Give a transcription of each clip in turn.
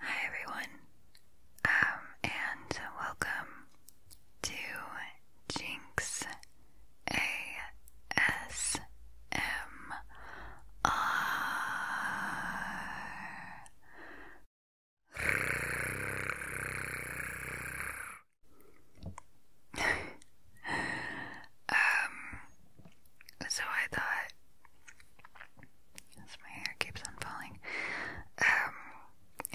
Hi everyone, um, and welcome to Jinx ASMR. um, so I thought, as my hair keeps on falling, um,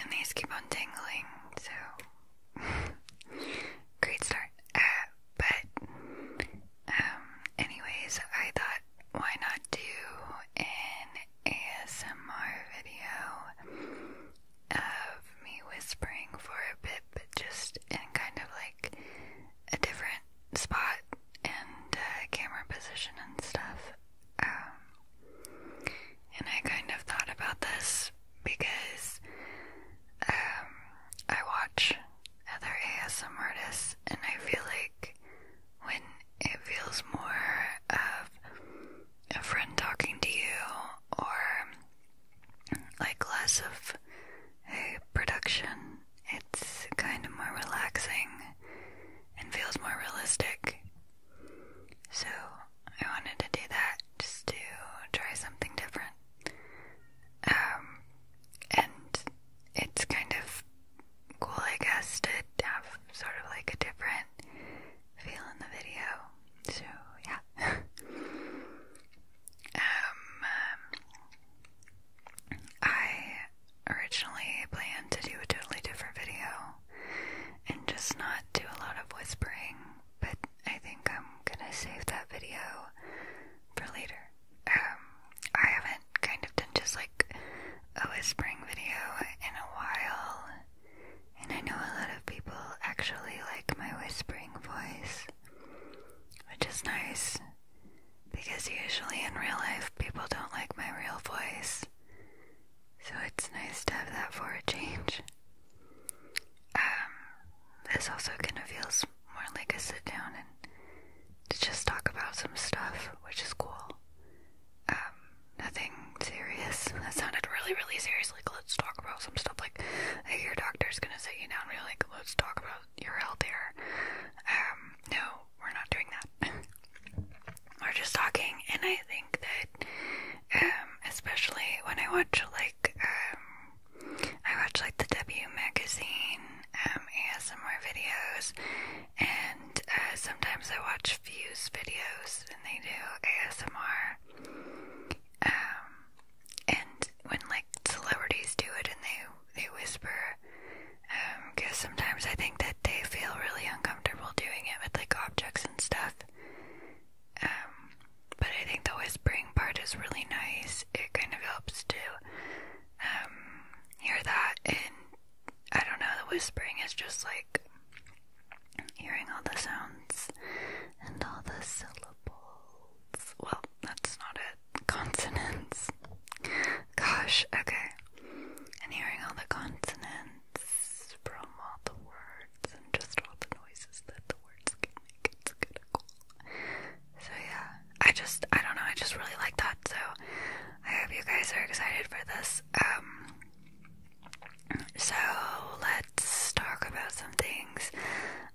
and these keep on tingling, so great start. Uh, but, um, anyways, I thought, why not do an ASMR video of me whispering for a bit, but just in kind of like a different spot and uh, camera position and stuff. Um, and I kind of thought about this because um, I watch other ASMR artists and I feel like when it feels more of a friend talking to you or like less of a production. It's kind of more relaxing and feels more realistic. So I wanted to do that just to try something different. Um, and it's kind of cool, I guess, to have sort of like a different feel in the video. So yeah. Um, um, I originally planned to do a totally different video and just not do a lot of whispering, but I think I'm gonna save that video for later. Um, I haven't kind of done just like a whispering video in a while, and I know a lot of people actually like my whispering voice, which is nice because usually in real life people don't like my real voice, so it's nice to have that for a change. Um, this also kind of feels more like a sit down and to just talk about some stuff, which is cool. Um, nothing serious. That sounded really, really serious. Like, let's talk about some stuff. Like, like your doctor's gonna sit you down and really. like, let's talk about URL there. Um, no, we're not doing that. we're just talking, and I think that, um, especially when I watch like, um, I watch like the W magazine ASMR videos, and uh, sometimes I watch Fuse videos, and they do ASMR and when like celebrities do it and they they whisper, because um, sometimes I think that they feel really uncomfortable doing it with like objects and stuff. Um, but I think the whispering part is really nice. It kind of helps to um, hear that, and I don't know, the whispering is just like hearing all the sounds and all the syllables. Well, that's not it. Consonants. Gosh, okay. And hearing all the consonants from all the words and just all the noises that the words can make, it's kinda cool. So yeah, I just, I don't know, I just really like that, so I hope you guys are excited for this. Um, so let's talk about some things.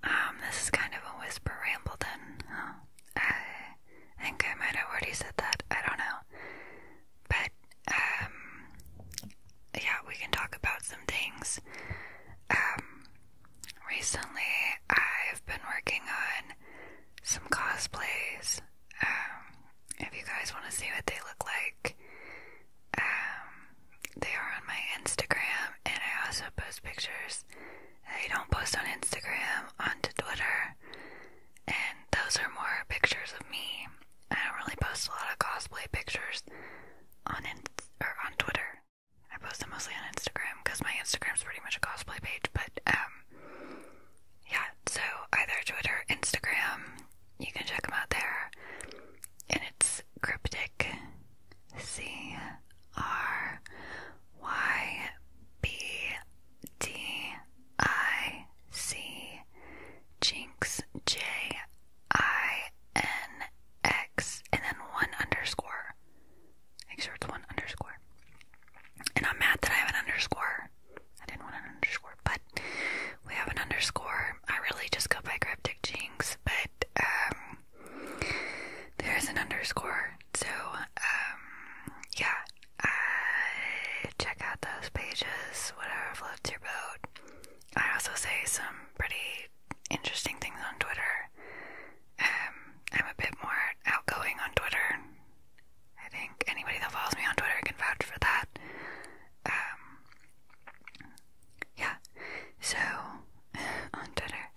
Um, this is kind of a whisper ramble then, huh? I think I might have already said that. I don't know. But, um, yeah, we can talk about some things. Um, recently I've been working on some cosplays. Um, if you guys want to see what they look like, um, they are on my Instagram, and I also post pictures I don't post on Instagram, onto Twitter, and those are more pictures of me. I don't really post a lot of cosplay pictures on in or on Twitter. I post them mostly on Instagram because my Instagram is pretty much a cosplay page. But um, yeah. So either Twitter, Instagram, you can check them out there. And it's cryptic, See. R Y B D I C Jinx J I N X and then one underscore. Make sure it's one underscore. And I'm mad that I have an underscore. I didn't want an underscore, but we have an underscore. I really just go by Cryptic Jinx, but um there's an underscore. So, um, yeah, uh, check out those pages, whatever floats your boat. I also say some pretty interesting things on Twitter. Um, I'm a bit more outgoing on Twitter. I think anybody that follows me on Twitter can vouch for that. Um, yeah, so on Twitter.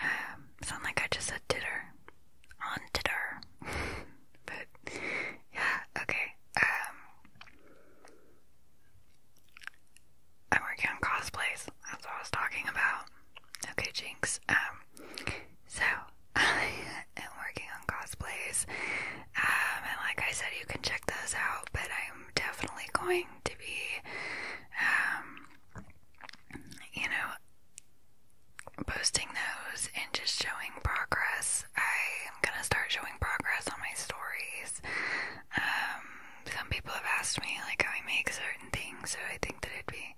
Um, sound like I just said titter. On titter. but, yeah, okay. Um, I'm working on cosplays. That's what I was talking about. Okay, Jinx. Um, so, I am working on cosplays. Um, and like I said, you can check those out, but I'm definitely going to be, um, you know, posting those and just showing progress. I am gonna start showing progress on my stories. Um, some people have asked me like how I make certain things, so I think that it'd be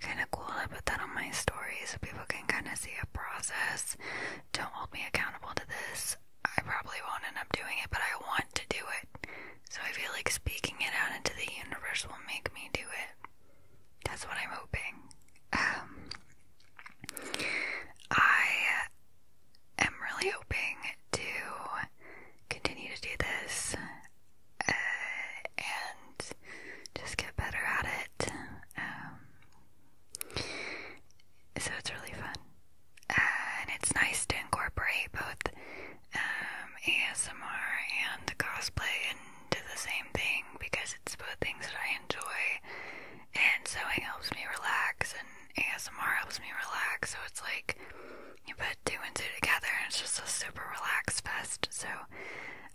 kind of cool to put that on my story so people can kind of see a process. Don't hold me accountable to this. I probably won't end up doing it, but I want to do it. So I feel like speaking it out into the universe will make me do it. That's what I'm hoping. Um, I am really hoping to continue to do this uh, and just get better at it. Um, so it's really fun. Uh, and it's nice to incorporate both um, ASMR and cosplay into the same thing because it's both things that I enjoy, and sewing helps me relax, and ASMR helps me relax. So it's like you put two and two together, and it's just a super relaxed fest. So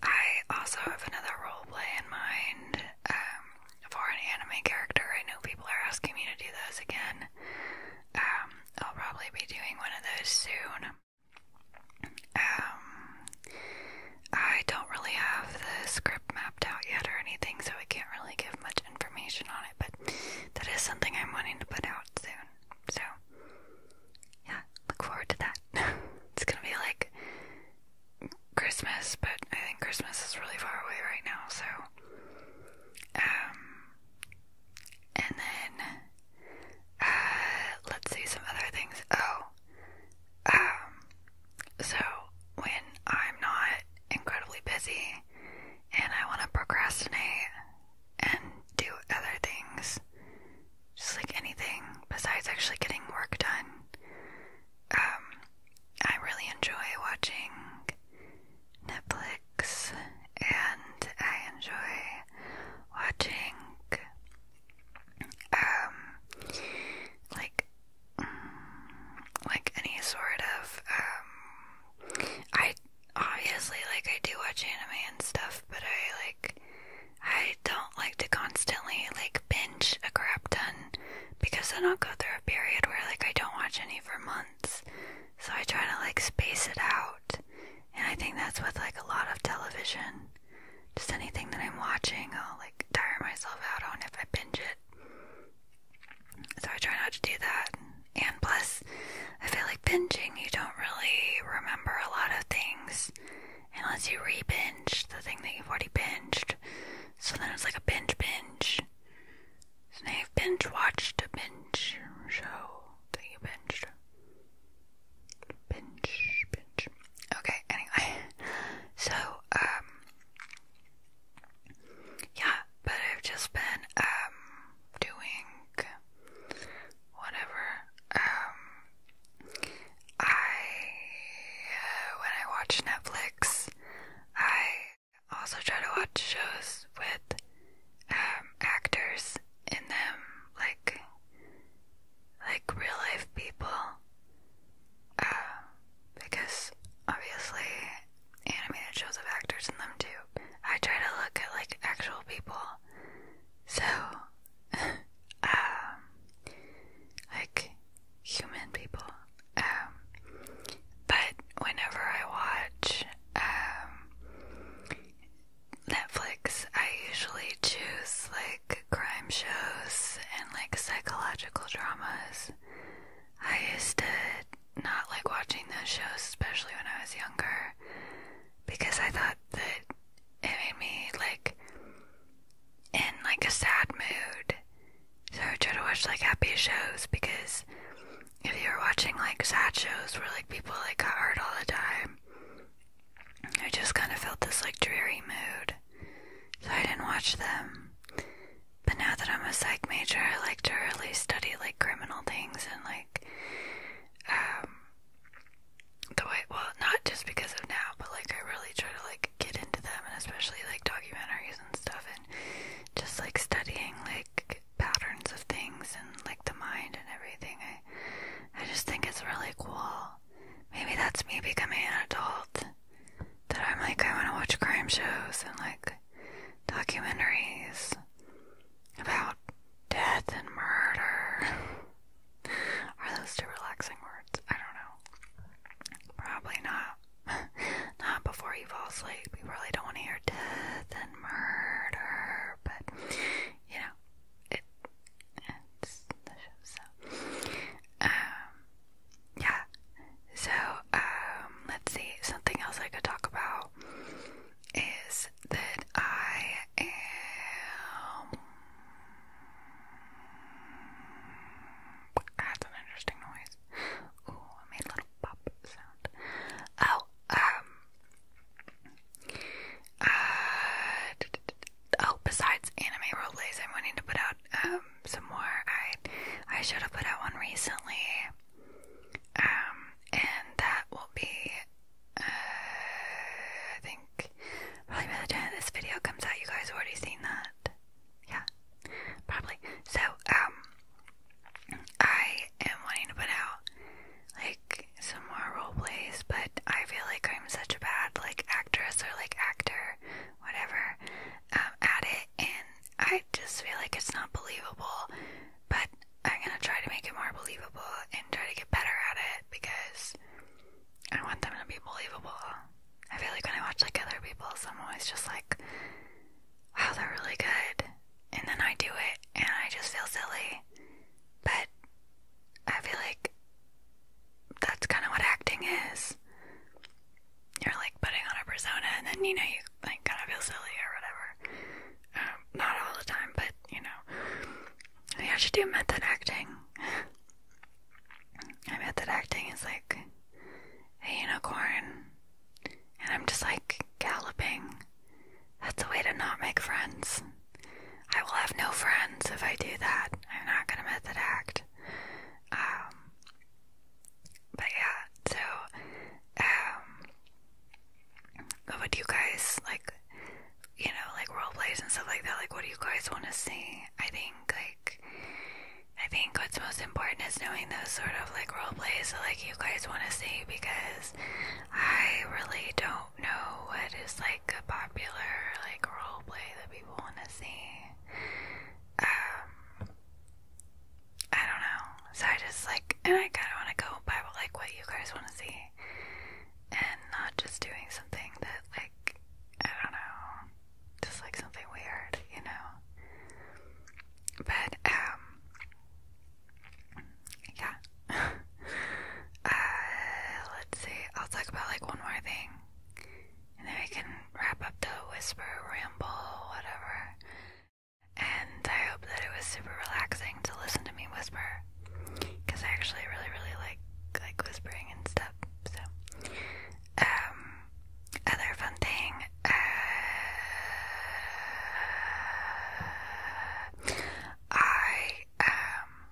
I also have another role play in mind um, for an anime character. I know people are asking me to do those again. Um, I'll probably be doing one of those soon. Um, I don't really have the script mapped out yet or anything, so I can't really give much information on it, but that is something I'm wanting to put out soon. So, yeah, look forward to that. it's gonna be like Christmas, but I think Christmas is really far away right now, so, um, and then, uh, let's see some other things. Oh, um, so when I'm not incredibly busy and I want to procrastinate and do other things, just like anything besides actually getting work done, um, I really enjoy watching Netflix and I enjoy watching um like mm, like any sort of um I obviously like I do watch anime and stuff but I like I don't like to constantly like binge a crap ton because then I'll go through a period where like I don't watch any for months so I try to like space it out and I think that's with like a lot of television. Just anything that I'm watching, I'll like tire myself out on if I binge it. So I try not to do that. And plus, I feel like binging, you don't really remember a lot of things unless you re binge the thing that you've already binged. So then it's like a binge binge. So now you've binge watched a binge show that you binged. Pinch, pinch. Okay, anyway. So, um, yeah, but I've just been, um, doing whatever. Um, I, uh, when I watch Netflix, I also try to watch shows with, um, actors in them, like, like real life people. Uh, because obviously animated shows have actors in them too. I try to look at like actual people. So, um, like human people. Um, but whenever I watch, um, Netflix, I usually choose like crime shows and like psychological dramas. I used to not like watching those shows, especially when I was younger, because I thought that it made me like in like a sad mood. So I try to watch like happy shows because if you are watching like sad shows where like people like got hurt all the time, I just kind of felt this like dreary mood, so I didn't watch them. But now that I'm a psych major, I like to really study like criminal things and like um the way well not just because of now, but like I really try to like get into them and especially like documentaries and stuff and just like studying like patterns of things and like the mind and everything. I I just think it's really cool. Maybe that's me becoming an adult. That I'm like, I want to watch crime shows and like documentaries about death and murder. Are those two relaxing words? I don't know. Probably not. not before you fall asleep. You really don't want to hear death and murder, but you know, it's the show, so. Um, yeah. So, um, let's see. Something else I could talk about is that I am. That's an interesting noise. Ooh, I made a little pop sound. Oh, um, uh, oh, besides anime roleplays, I'm wanting to put out um some more. I I should have put out one recently. Um, and that will be uh, I think probably by the time this video comes out, you guys have already seen that. Yeah, probably. So um, I am wanting to put out like some more role plays, but I feel like I'm such a bad like actress or like actor, whatever, um, at it, and I just feel like it's not believable. But I'm gonna try to make it more believable and try to get better at it because I want them to be believable. I feel like when I watch like other people's, I'm always just like, wow, they're really good, and then I do it and I just feel silly. But I feel like that's kind of what acting is. You're like putting on a persona, and then you know you like kind of feel silly or whatever. Um, not all the time, but you know, I should do method acting. I and that acting is like a unicorn, and I'm just like galloping. That's a way to not make friends. I will have no friends if I do that. I'm not gonna method act. Um, but yeah, so, um, what do you guys, like, you know, like role plays and stuff like that, like, what do you guys want to see? I think, like, I think what's most important is knowing those sort of, like, role plays that, like, you guys want to see because I really don't don't know what is like a popular like role play that people want to see. Um, I don't know. So I just like, and I kind of want to go by like what you guys want to see, and not just doing something that like I don't know, just like something weird, you know. But um, yeah. Uh, let's see. I'll talk about like one more thing, and then we can wrap up the whisper, ramble, whatever. And I hope that it was super relaxing to listen to me whisper, because I actually really, really like like whispering and stuff. So, um, other fun thing. Uh, I um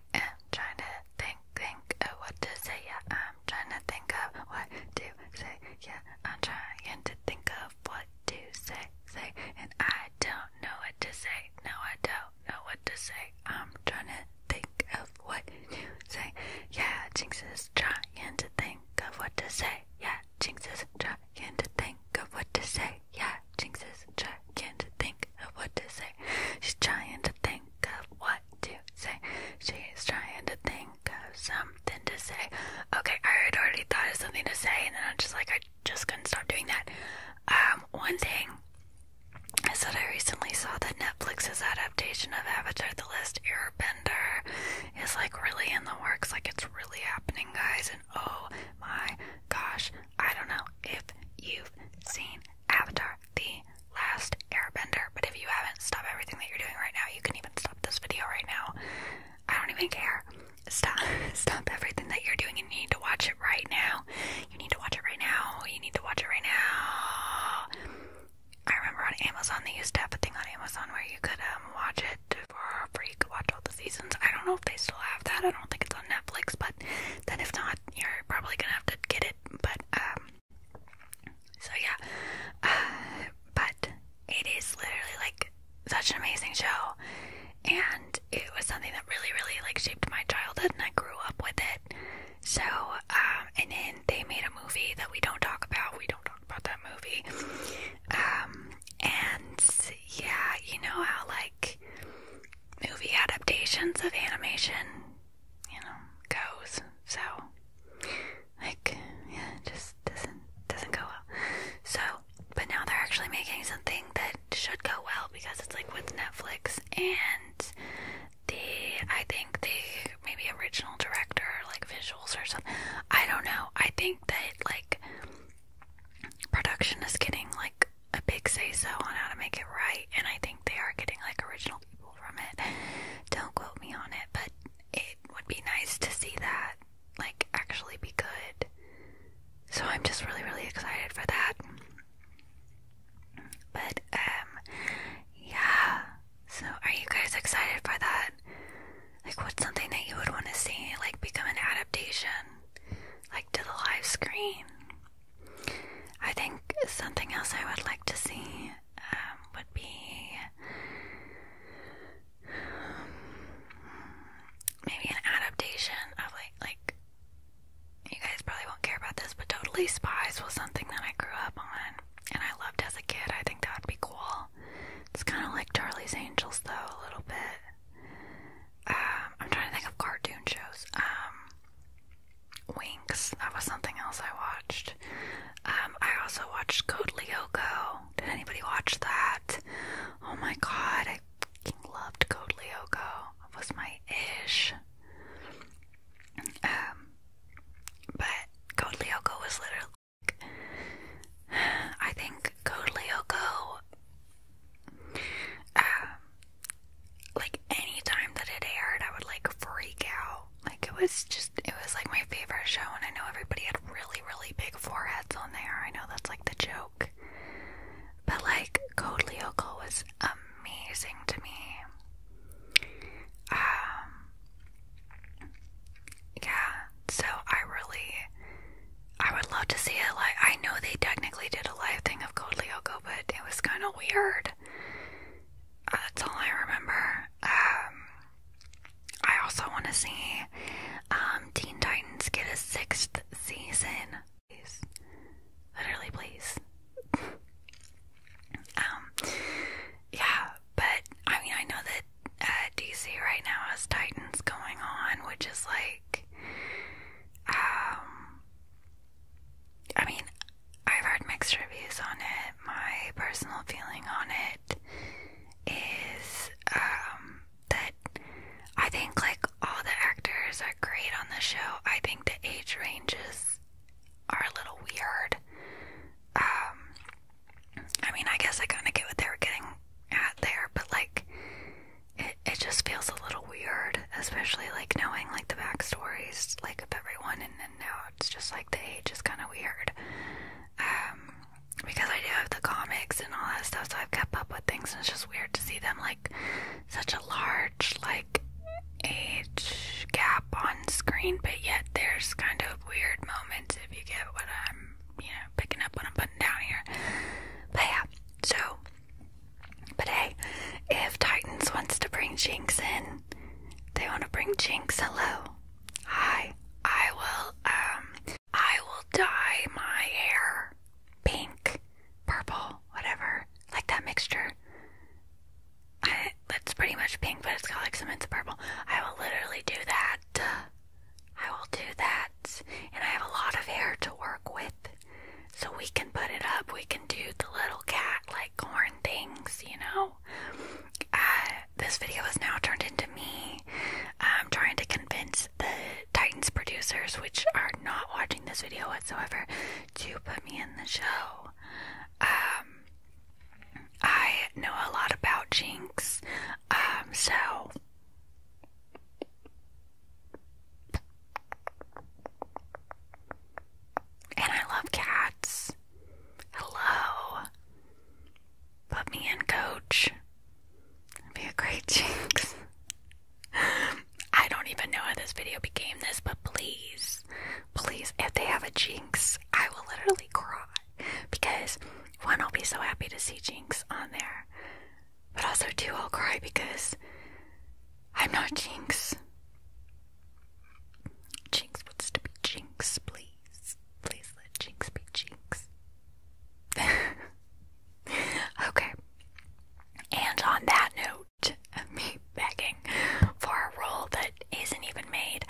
I am trying to think, think of what to say. Yeah, I'm trying to think of what to say. Yeah, I'm trying to think of what to say. Say, and I don't know what to say. No, I don't know what to say. I'm trying to think of what to say. Yeah, Jinx is trying to think of what to say. Yeah, Jinx is trying to think of what to say. Yeah, Jinx is trying to think of what to say. She's trying to think of what to say. She's trying to think of something to say. Okay, I had already thought of something to say, and then I'm just like, I just couldn't stop doing that. Um, one thing I said I recently saw that Netflix's adaptation of Avatar The Last Airbender is like really in the works, like it's really happening, guys. And oh my gosh, I don't know if you've seen Avatar the Last Airbender. But if you haven't, stop everything that you're doing right now. You can even stop this video right now. I don't even care. Stop stop everything that you're doing and you need to watch it right now. You need to watch it right now. You need to watch it right now. I remember on Amazon they used to have a thing on Amazon where you could um watch it for free. You could watch all the seasons. I don't know if they still have that. I don't think it's on Netflix, but then if not, you're probably gonna have to get it. But um so yeah, but it is literally like such an amazing show, and it was something that really, really like shaped my childhood, and I grew up with it. So, um, and then they made a movie that we don't talk about. We don't talk about that movie. Um, and yeah, you know how like movie adaptations of animation you know, goes. So, like, yeah, it just doesn't doesn't go well. So, but now they're actually making something that should go well because it's like with Netflix and the I think the maybe original director like visuals or something. I don't know. I think that like production is getting like a big say so on how to make it right and I think they are getting like original people from it. Don't quote me on it, but it would be nice to see that like actually be good. So I'm just really really excited for that. But um yeah. So are you guys excited for that? Like what's something that you would want to see like become an adaptation like to the live screen? I think something else I would like to see um, would be um, maybe an adaptation of like like you guys probably won't care about this, but Totally Spies was something that I grew up on and I loved as a kid. I think that would be cool. It's kind of like Charlie's Angels though, a little bit. Um, I'm trying to think of cartoon shows. Um, Winks. That was something else I watched. Um, I also watched Code Lyoko. Did anybody watch that? Oh my god, I loved Code Lyoko. It was my ish. Um, but Code Lyoko was literally. I think Code Lyoko. Um, like any time that it aired, I would like freak out like it was just it was like my favorite show and I know everybody had really, really big foreheads on there. I know that's like the joke. But like Code Lyoko was amazing to me. Um Yeah, so I really I would love to see it live. I know they technically did a live thing of Code Lyoko, but it was kinda weird that's all I remember. Um, I also want to see um, Teen Titans get a sixth season. Please. Literally, please. um, yeah, but I mean, I know that uh, DC right now has Titans going on, which is like, um, I mean, I've heard mixed reviews on it. My personal feeling on it is um, that I think like all the actors are great on the show. I think the age ranges are a little weird. Um, I mean, I guess I kind of get what they are getting at there, but like it, it just feels a little weird, especially like knowing like the backstories like of everyone and then now it's just like the age is kind of weird. Um, because I do have the comics and all that stuff, so I've kept up with things, and it's just weird to see them like such a large like age gap on screen, but yet there's kind of weird moments if you get what I'm, you know, picking up what I'm putting down here. But yeah, so. But hey, if Titans wants to bring Jinx in, they want to bring Jinx. Hello. Hi. I will, um, I will dye my hair pink, purple, whatever, like that mixture. It's pretty much pink, but it's got like some hints of purple. I will literally do that. I will do that. And I have a lot of hair to work with. So we can put it up. We can do the little cat like corn things, you know? Uh, this video is now turned into me um, trying to convince the Titans producers, which are not watching this video whatsoever, to put me in the show. Um, I know a lot about Jinx, um, so. And I love cats. Hello. Put me in, coach. That'd be a great jinx. I don't even know how this video became this, but please, please, if they have a jinx, I will literally cry. Because, one, I'll be so happy to see jinx on there. But also, two, I'll cry because I'm not jinx. Jinx wants to be Jinx, please. Please let Jinx be Jinx. okay. And on that note, me begging for a role that isn't even made,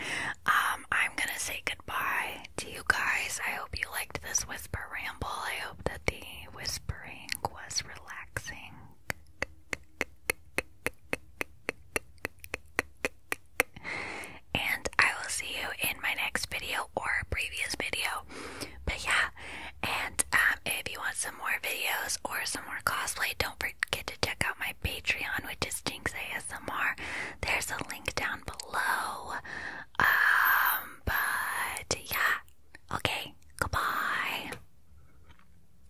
um, I'm gonna say goodbye to you guys. I hope you liked this whisper ramble. I hope that the whispering was relaxing. And I will see you in my next video or previous video. But yeah, and um, if you want some more videos or some more cosplay, don't forget to check out my Patreon, which is Jinx ASMR. There's a link down below. Um, but yeah, okay, goodbye.